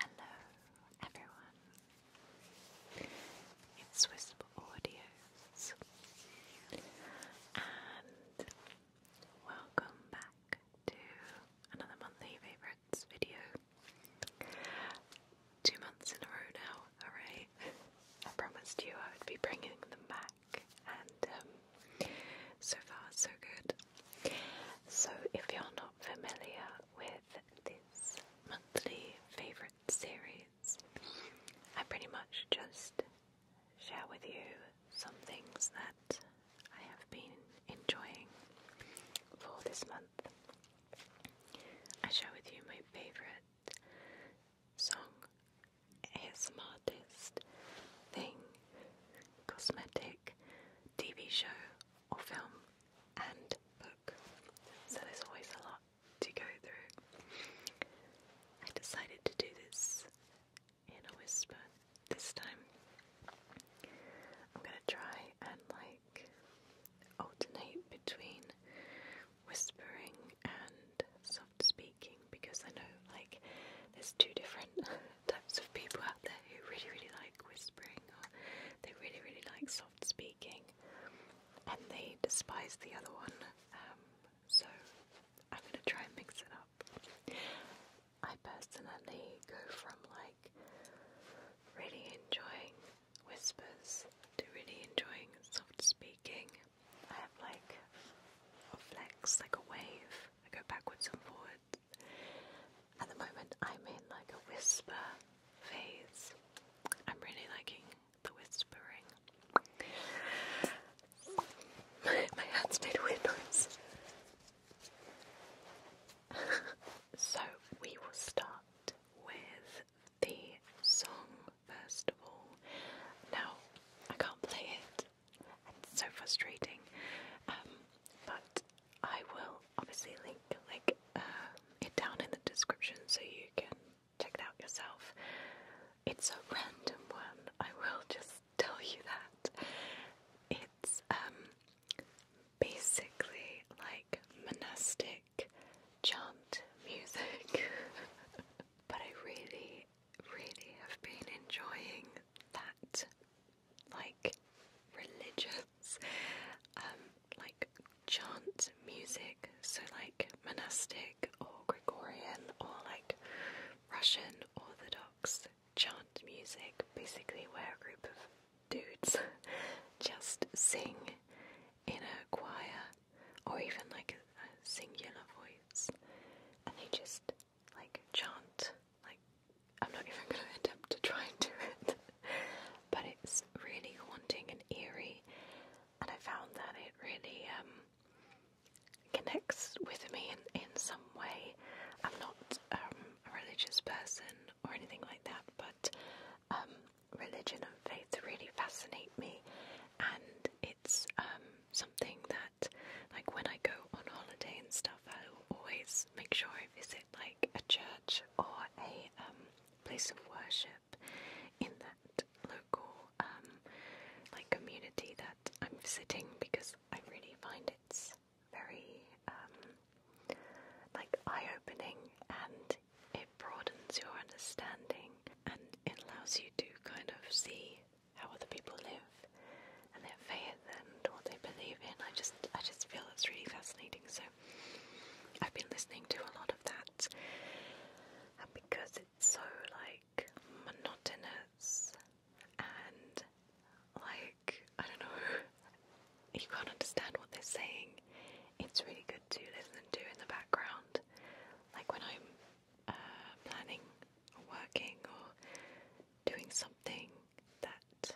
Hello, everyone. It's Whisper Audios, and welcome back to another monthly favourites video. Two months in a row now, alright? I promised you I would be bringing them back, and um, so far, so good. So, if you're not familiar with this monthly favourite series, I pretty much just share with you some things that I have been enjoying for this month. I share with you my favourite song, ASM artist, thing, cosmetic. TV show, or film, and book. So there's always a lot to go through. I decided to do this in a whisper this time. I'm gonna try and like alternate between whispering and soft speaking because I know like there's two different types of people out there who really, really like whispering or they really, really like soft speaking and they despise the other one. Um, so I'm going to try and mix it up. I personally go from like really enjoying whispers to really enjoying soft speaking. I have like a flex, like a wave. I go backwards and forwards. At the moment, I'm in like a whisper phase. I'm really liking the whispering. My, hands made weird noise. so, we will start with the song first of all. Now, I can't play it, it's so frustrating. Um, but I will obviously link like um, it down in the description so you can check it out yourself. It's a random one. I will just tell you that it's um basically like monastic chant music, but I really, really have been enjoying that like religious, um, like chant music, so like monastic or Gregorian or like Russian Orthodox chant music, basically where a group of dudes just sing in a choir or even like a, a singular voice and they just like chant I'm not even going to attempt to try and do it, but it's really haunting and eerie, and I found that it really um, connects with me in, in some way. I'm not um, a religious person or anything like that, but um, religion and faith really fascinate me, and it's something that, like, when I go on holiday and stuff, I will always make sure I visit like a church or a um, place of worship in that local um, like community that I'm visiting because I really find it's very um, like eye-opening and it broadens your understanding and it allows you to kind of see how other people live and their faith and what they believe in. I just I just feel it's really fascinating. So I've been listening to a lot of that, and because it's so like monotonous and like I don't know, you can't understand what they're saying. It's really good to listen to in the background, like when I'm uh, planning or working or doing something that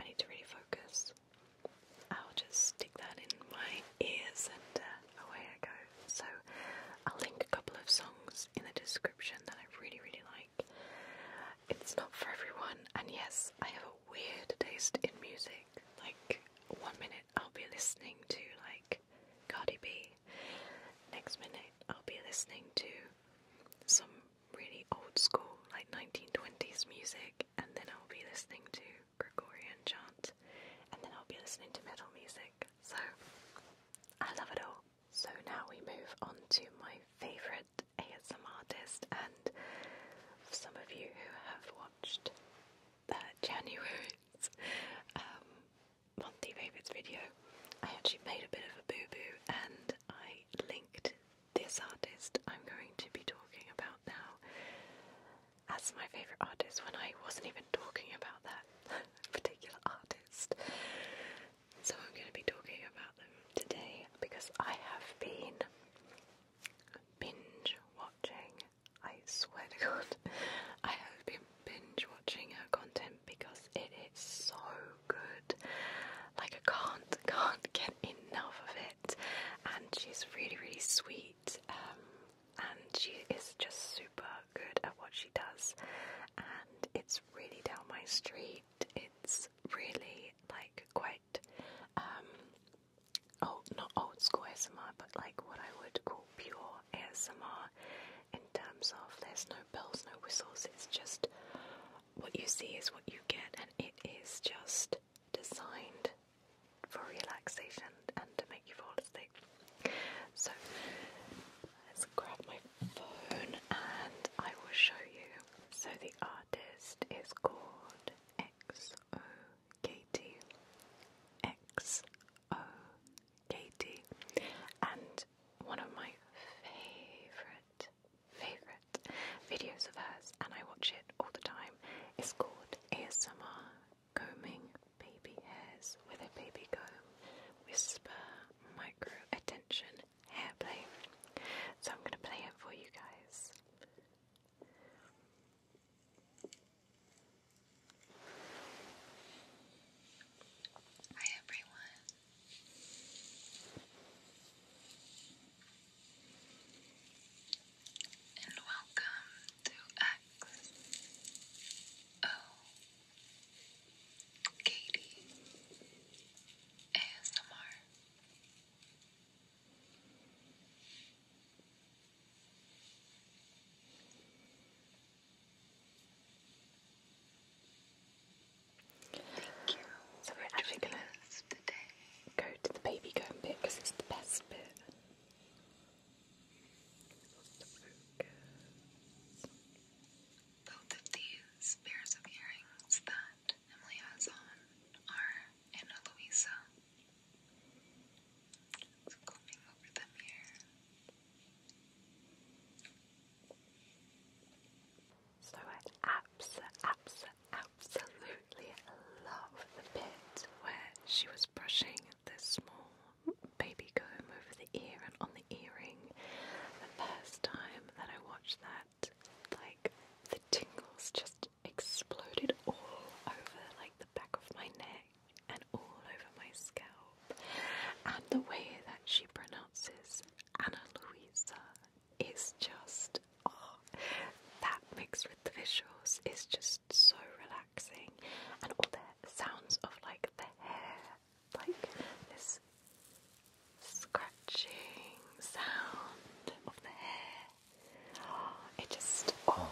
I need to really focus. I'll just stick that in my ears and uh, away I go. So I'll link a couple of songs in the description that I really, really like. It's not for everyone, and yes, I have a weird taste in music. Like, one minute I'll be listening to, like, Cardi B, next minute I'll be listening to some really old school, like 1920s music, and then I'll be listening to Gregorian chant, and then I'll be listening to metal music. So I love it all. So now we move on to my favourite ASM artist, and for some of you who have watched uh, January's Monty um, monthly favourites video, I actually made a bit of a boo boo and I linked this artist I'm going to be talking about now as my favourite artist when I wasn't even talking about that particular artist. So I'm going to be talking about them today because I have been binge watching. I swear to God, I have been binge watching her content because it is so good. Like I can't, can't get enough of it and she's really, really sweet. Um, and she is just super good at what she does, and it's really down my street. It's really like quite, oh, not old school ASMR, but like what I would call pure ASMR in terms of there's no bells, no whistles. It's just what you see is what you get, and it is just designed for relaxation and to make you fall asleep. So let's grab my phone and I will show you. So the artist is called XO And one of my favourite favourite videos of hers, and I watch it all the time, It's called Summer Combing Baby Hairs with a Baby Comb Whisper Micro Attention Hair Play. So I'm going to play it for you guys. Hi everyone and welcome to X O Katie ASMR. Thank you. So we're actually gonna Go to the baby going bit because it's the best bit. Both of these pairs of earrings that Emily has on are Anna Luisa. So I abs abs absolutely love the bit where she was brushing this small baby comb over the ear and on the earring. The first time that I watched that, like the tingles just exploded all over like the back of my neck and all over my scalp. And the way that she pronounces Anna Louise is just oh, that mixed with the visuals is just so relaxing, and all the sounds of like the hair, like this scratching sound of the hair. it just oh,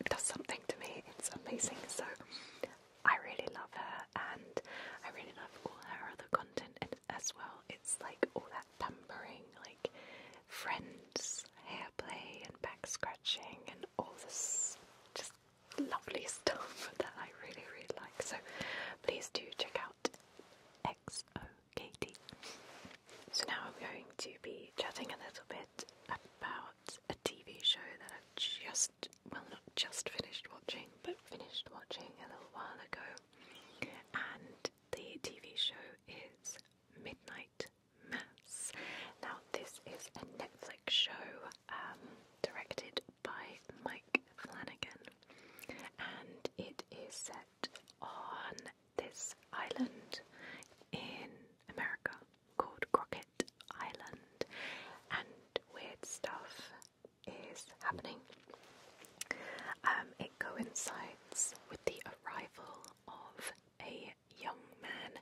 it does something to me. It's amazing. So I really love her, and I really love all her other content as well. It's like all that pampering, like friends, hair play, and back scratching, and all this just lovely stuff that I really, really like. So please do check out XOKD. So now I'm going to be chatting a little bit about a TV show that I've just, well, not just finished watching, but finished watching a little while ago. And the TV show is Midnight Mass. Now, this is a Netflix show um, directed by Mike Flanagan, and it is set on this island in America called Crockett Island, and weird stuff is happening um, it coincides with the arrival of a young man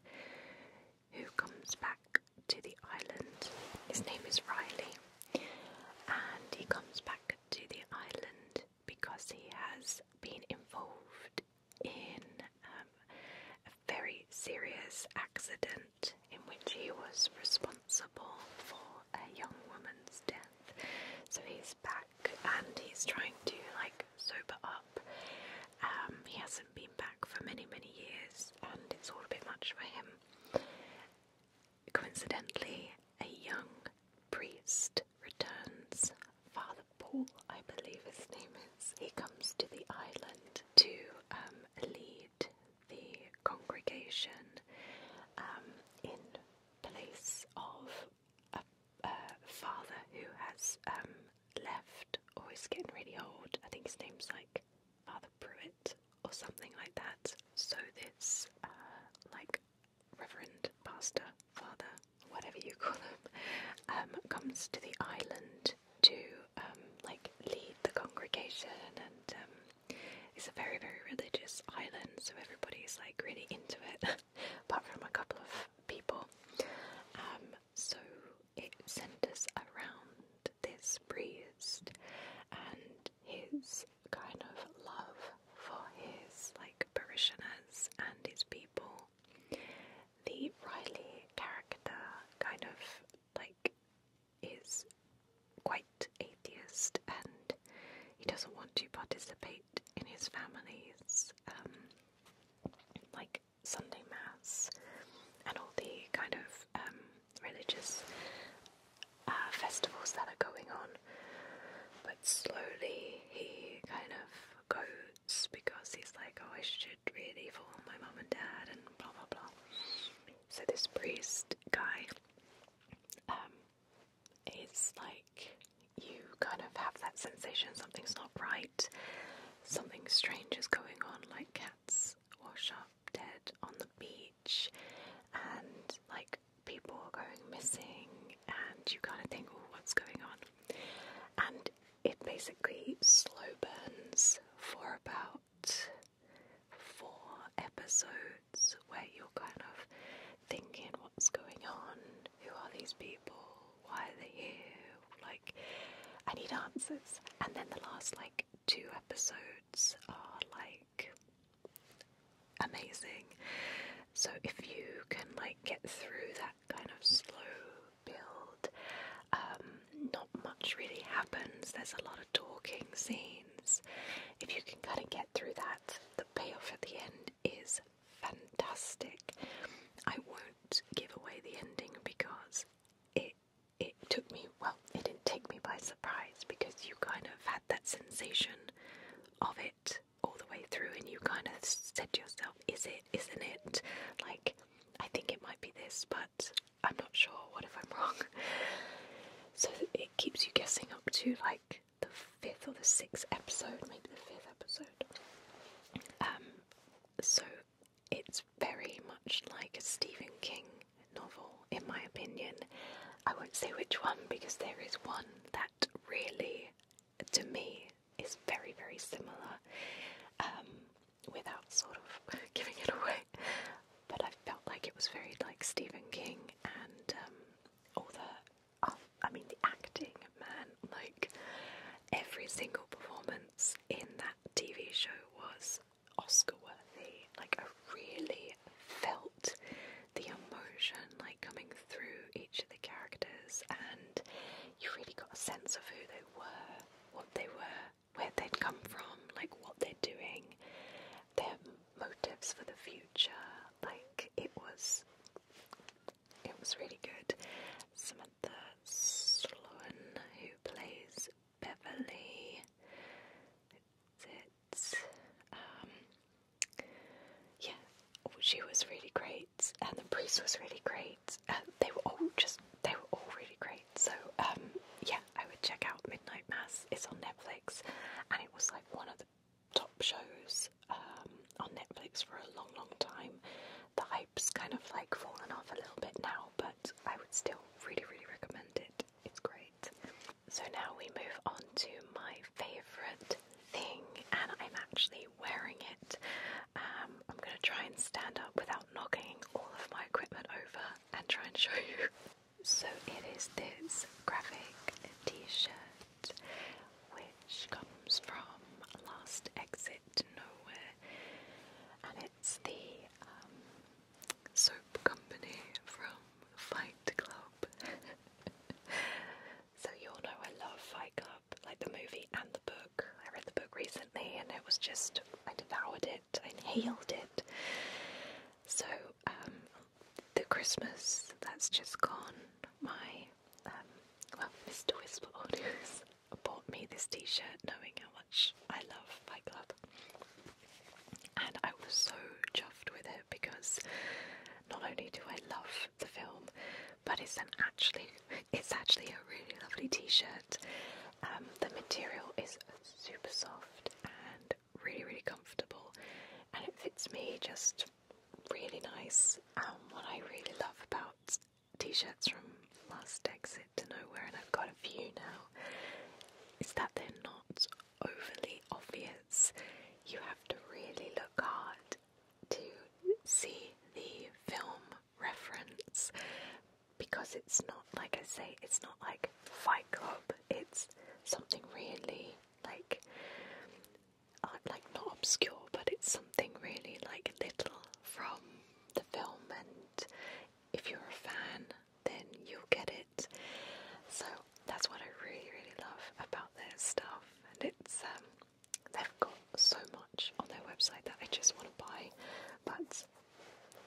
who comes back to the island. His name is Riley, and he comes back to the island because he has been involved in um, a very serious accident in which he was responsible for a young woman's death. So he's back and he's trying to like sober up. Um, he hasn't been back for many, many years and it's all a bit much for him. Coincidentally, a young priest returns. Father Paul, I believe his name is. He comes to the island to um, lead the congregation um, in place of a, father who has um, left or is getting really old. I think his name's like Father Pruitt or something like that. So this uh, like Reverend Pastor Father, whatever you call him, um, comes to the island to um, like lead the congregation and it's a very very religious island so everybody's like really into it apart from a couple of people. Um, so it centres around this priest and his kind of love for his like parishioners and his people. The Riley character kind of like is quite atheist and he doesn't want to participate in his family's um, like Sunday mass and all the kind of um, religious uh, festivals that are going on. But slowly he kind of goes because he's like, oh, I should really follow my mom and dad and blah blah blah. So this priest guy um, it's like you kind of have that sensation something's not right, something strange is going on, like cats wash up dead on the beach, and like people are going missing, and you kind of think, oh, what's going on? And it basically slow burns for about four episodes where you're kind of thinking what's going on who are these people? Why are they here? Like, I need answers. And then the last, like, two episodes are, like, amazing. So if you can, like, get through that kind of slow build, um, not much really happens. There's a lot of talking scenes. If you can kind of get through that, the payoff at the end is fantastic. I won't give away the ending because it it took me well, it didn't take me by surprise because you kind of had that sensation of it all the way through and you kind of said to yourself, Is it, isn't it? Like, I think it might be this, but I'm not sure, what if I'm wrong? So it keeps you guessing up to like the fifth or the sixth episode, maybe the fifth episode. Um, so it's very much like a Stephen King novel, in my opinion. I won't say which one because there is one that really, to me, is very, very similar um, without sort of giving it away. But I felt like it was very like Stephen King, and um, all the I mean, the acting, man, like every single performance in that TV show was Oscar worthy. Like, I really felt the emotion like coming through each of the characters, and you really got a sense of who they were, what they were, where they'd come from, like what they're doing, their motives for the future. Like, it was it was really good. Samantha Sloan, who plays Beverly, it's um, yeah, she was really great, and the priest was really great. Uh, they were all just they were all really great. So um, yeah, I would check out Midnight Mass. It's on Netflix, and it was like one of the top shows um, on Netflix for a long, long time. The hype's kind of like fallen off a little bit now, but I would still really, really recommend it. It's great. So now we move on to my favorite thing, and I'm actually wearing it. Um, I'm gonna try and stand up without knocking all of my equipment over and try and show you. So it is this graphic t shirt which comes from Last Exit Nowhere, and it's the um, soap company from Fight Club. so, you all know I love Fight Club, like the movie and the book. I read the book recently and it was just, I devoured it, I inhaled it. So, um, the Christmas that's just gone, my um, well, Mr. Whisperlord bought me this t-shirt knowing how much I love Fight Club. And I was so chuffed with it because not only do I love the film, but it's an actually it's actually a really lovely t-shirt. Um, the material is super soft and really really comfortable and it fits me just really nice. Um, what I really love about t-shirts from Last Exit to Nowhere, and I've got a few now, is that they're not overly obvious. You have to really look hard to see the film reference because it's not like I say, it's not like Fight Club. It's something really like I'm like not obscure, but it's something really like little from the film, and if you're a fan, then you'll get it. So that's what I really, really love about their stuff, and it's um, they've got so much on their website that I just want to buy, but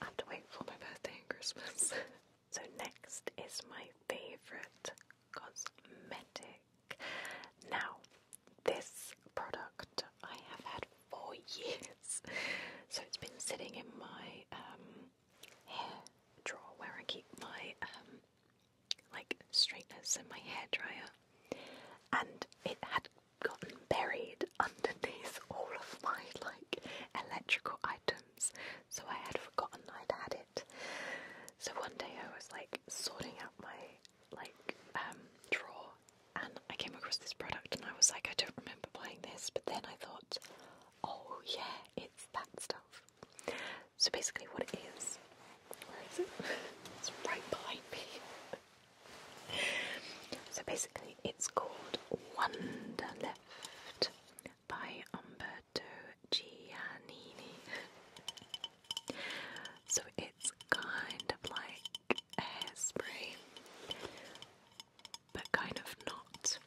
I have to wait for my birthday and Christmas. so next is my favorite cosmetic now, this product I have had for years, so it's been sitting in my um, drawer where I keep my um, like straighteners and my hair dryer, and it had gotten buried underneath all of my like electrical items, so I had forgotten I'd had so one day I was like sorting out my like um drawer and I came across this product and I was like I don't remember buying this but then I thought oh yeah it's that stuff. So basically what it is where is it? it's right behind me. So basically, it's called Wonderlift by Umber Roberto Giannini. so it's kind of like a hairspray, but kind of not.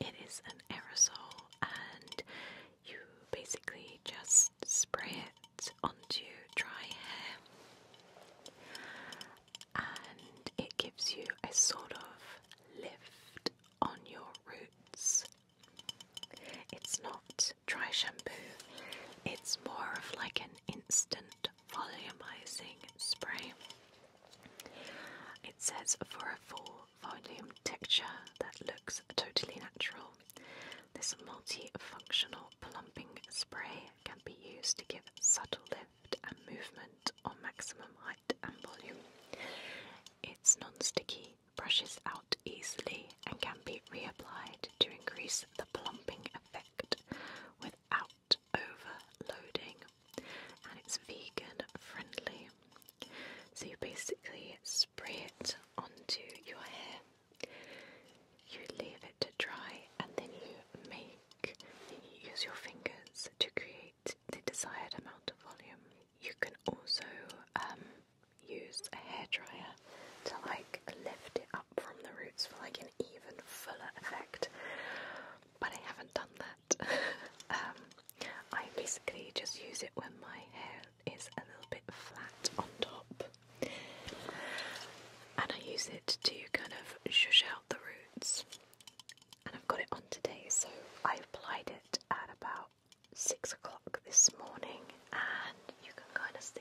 It is an aerosol, and you basically just spray it onto dry hair. And it gives you a sort of lift on your roots it's not dry shampoo, it's more of like an instant volumizing spray. It says for a full volume texture that looks totally natural. This multi-functional plumping spray can be used to give subtle lift and movement on maximum height and volume. It's non-sticky brushes out easily and can be reapplied to increase the plumping effect without overloading. And it's vegan friendly. So you basically spray it onto your hair, you leave it to dry, and then you make, you use your fingers to create the desired amount of volume. You can also um, use a hairdryer to like lift it up from the roots for like an even fuller effect. But I haven't done that. Um, I basically just use it when my hair is a little bit flat on top. And I use it to kind of shush out the roots. And I've got it on today, so I applied it at about six o'clock this morning and you can kind of see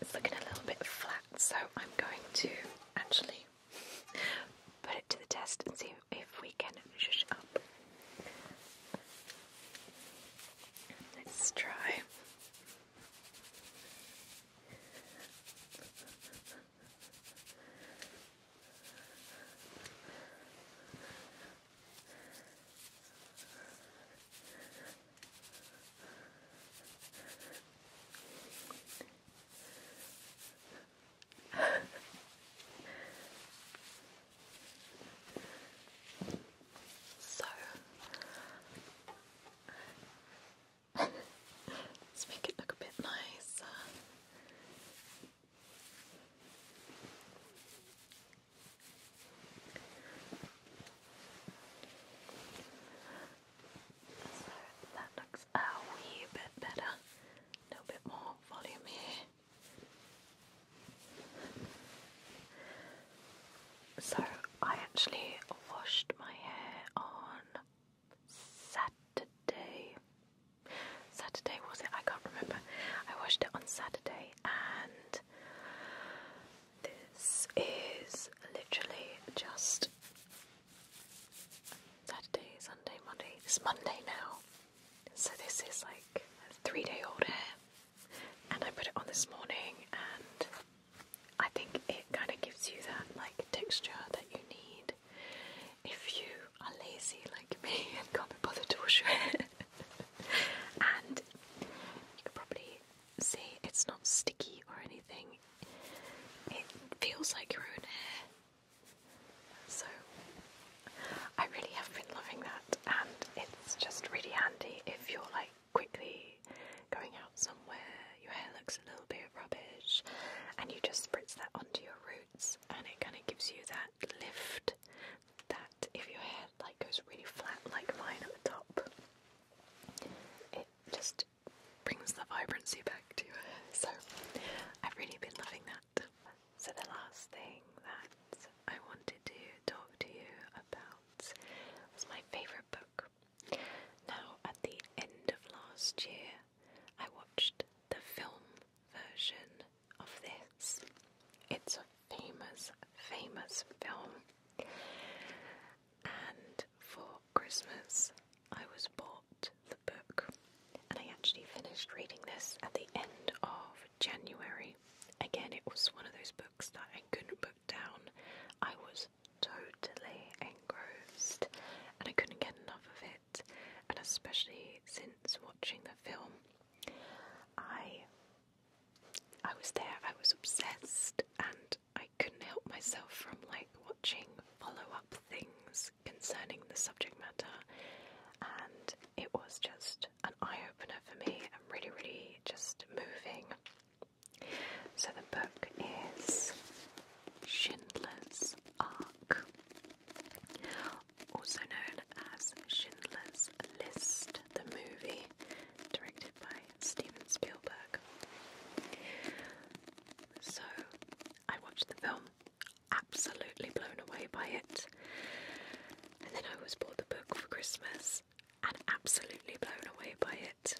it's looking a little bit flat so I'm going to actually put it to the test and see if we can push it up. Let's try so let's make it look a bit nicer. So that looks a wee bit better. A little bit more volume here. So I actually washed my hair on Saturday. Saturday was it? I can't remember. I washed it on Saturday today, and this is literally just Saturday, Sunday, Monday. It's Monday now, so this is like a three day old hair, and I put it on this morning, and I think it kind of gives you that like texture that you need if you are lazy like me and can't be bothered to wash your hair and you can probably see it's not sticky or anything. It feels like your own hair. So I really have been loving that and it's just really handy if you're like quickly going out somewhere, your hair looks a little bit rubbish and you just spritz that onto your roots and it kind of gives you that lift that if your hair like goes really flat like mine at the top, it just brings the vibrancy back to your hair. So I've really been loving that. So the last thing that I wanted to talk to you about was my favourite book. Now at the end of last year I watched the film version of this. It's a famous, famous film. And for Christmas, I was bought the book, and I actually finished reading this at the end of January. Again, it was one of those books that I couldn't put down. I was totally engrossed, and I couldn't get enough of it, and especially since watching the film. I I was there, I was obsessed and I couldn't help myself from like watching follow-up things concerning the subject matter and it was just an eye-opener for me and really really just moving. So the book is Schindler's Ark also known as Schindler's List, the movie directed by Steven Spielberg. So I watched the film, absolutely blown away by it, and then I was bought the book for Christmas and absolutely blown away by it.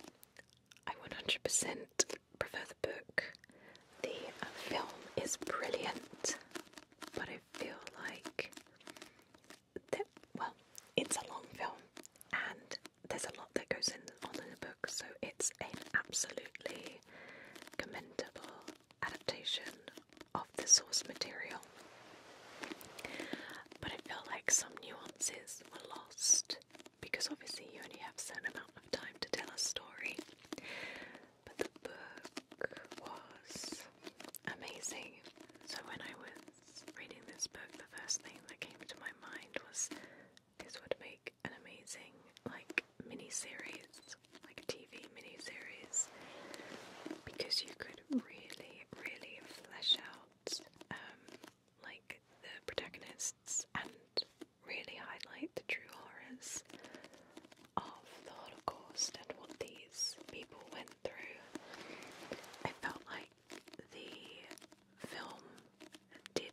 I 100% prefer the book. The uh, film is brilliant, but I feel like well, it's a long film and there's a lot that goes in on in the book, so it's an absolutely commendable adaptation of the source material. But it felt like some nuances were lost because obviously you only have a certain amount of time to tell a story. But the book was amazing. So, when I was reading this book, the first thing that came to my mind was this would make an amazing, like, mini series, like a TV mini series, because you could really, really flesh out, um, like, the protagonists and really highlight the true horrors of the Holocaust and what these people went through, I felt like the film did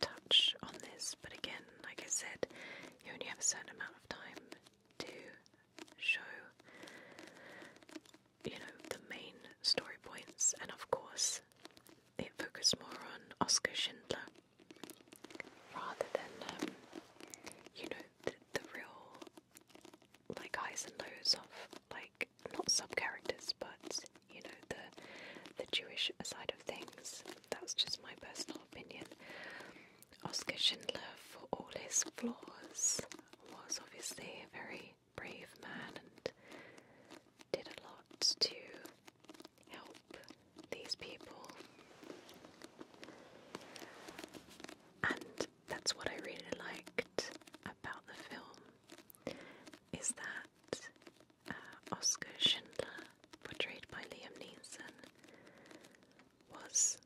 touch on this, but again, like I said, you only have a certain amount of time to show you know the main story points and of course it focused more on Oscar Schindler rather than um, you know the real like highs and lows of like not sub characters, but you know the the Jewish side of things. That's just my personal opinion. Oscar Schindler, for all his flaws, was obviously a very brave man and did a lot to help these people that's what I really liked about the film is that uh, Oscar Schindler, portrayed by Liam Neeson, was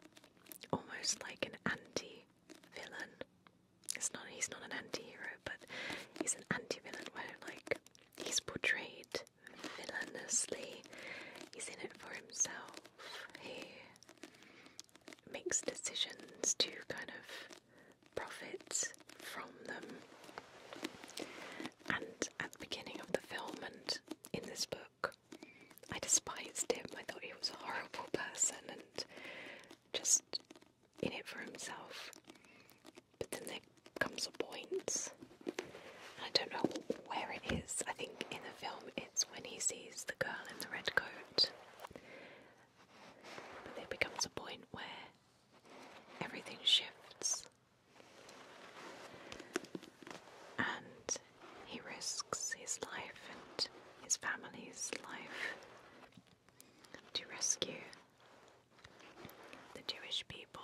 almost like an anti-villain. It's not he's not an anti-hero, but he's an anti-villain where like he's portrayed villainously. He's in it for himself. He makes decisions to kind of profit from them. And at the beginning of the film and in this book, I despised him. I thought he was a horrible person and just in it for himself. But then there comes a point, point. I don't know where it is. I think in the film it's when he sees the girl in the red coat. But there becomes a point where everything shifts and he risks his life and his family's life to rescue the Jewish people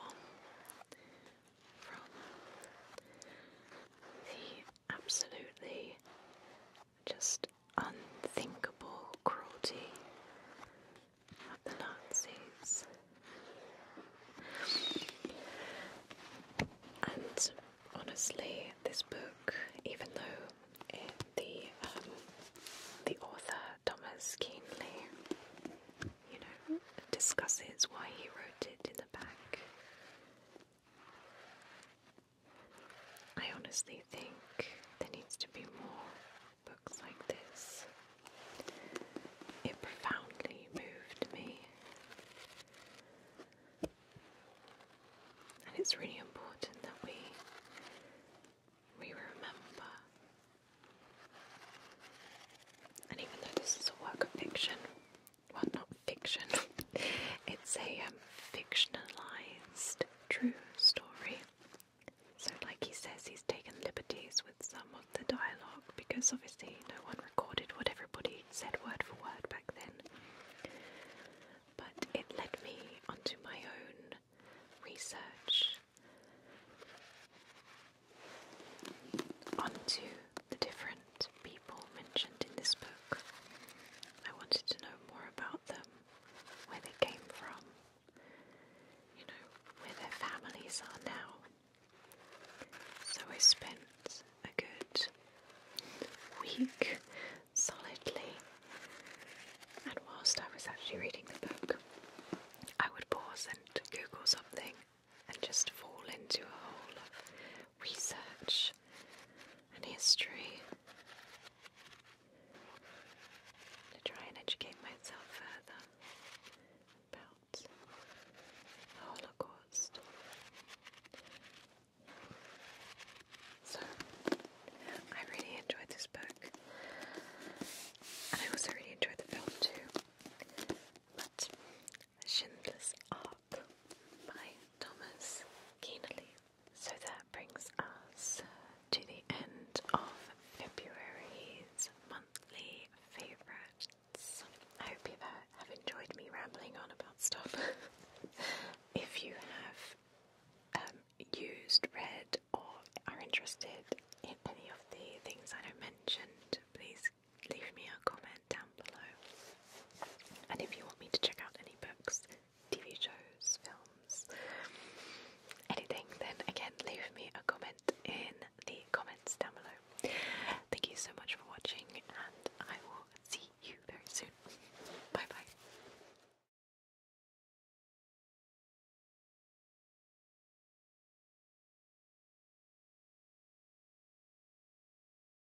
from the absolutely just unthinkable cruelty of the Nazis. And honestly, this book, even though the um, the author Thomas Keenly, you know, discusses why he wrote it in the back I honestly think there needs to be more books like this. It profoundly moved me. And it's really important that we we remember. And even though this is a work of fiction, well, not fiction, it's a um, fictionalized true story. So, like he says, he's taken liberties with some of the dialogue because obviously no one recorded what everybody said word for word back then. But it led me onto my own research, onto the different people mentioned in this book. I wanted to know more about them, where they came from, you know, where their families are now. So I spent a good week solidly, and whilst I was actually reading the book, I would pause and Google something and just fall into a hole of research and history to try and educate myself further about the Holocaust. So, I really enjoyed this book, and I also really enjoyed the film too. But Schindler's Ark by Thomas Keenerly. So that brings us to the end of February's monthly favourites. I hope you uh, have enjoyed me rambling on about stuff. if you have um, used, read, or are interested in any of the things I mentioned, please leave me a comment down below. And if you want me to check out any books, TV shows, films, anything, then again, leave me a comment in the comments down below. Thank you so much for watching, and I will see you very soon. Bye bye.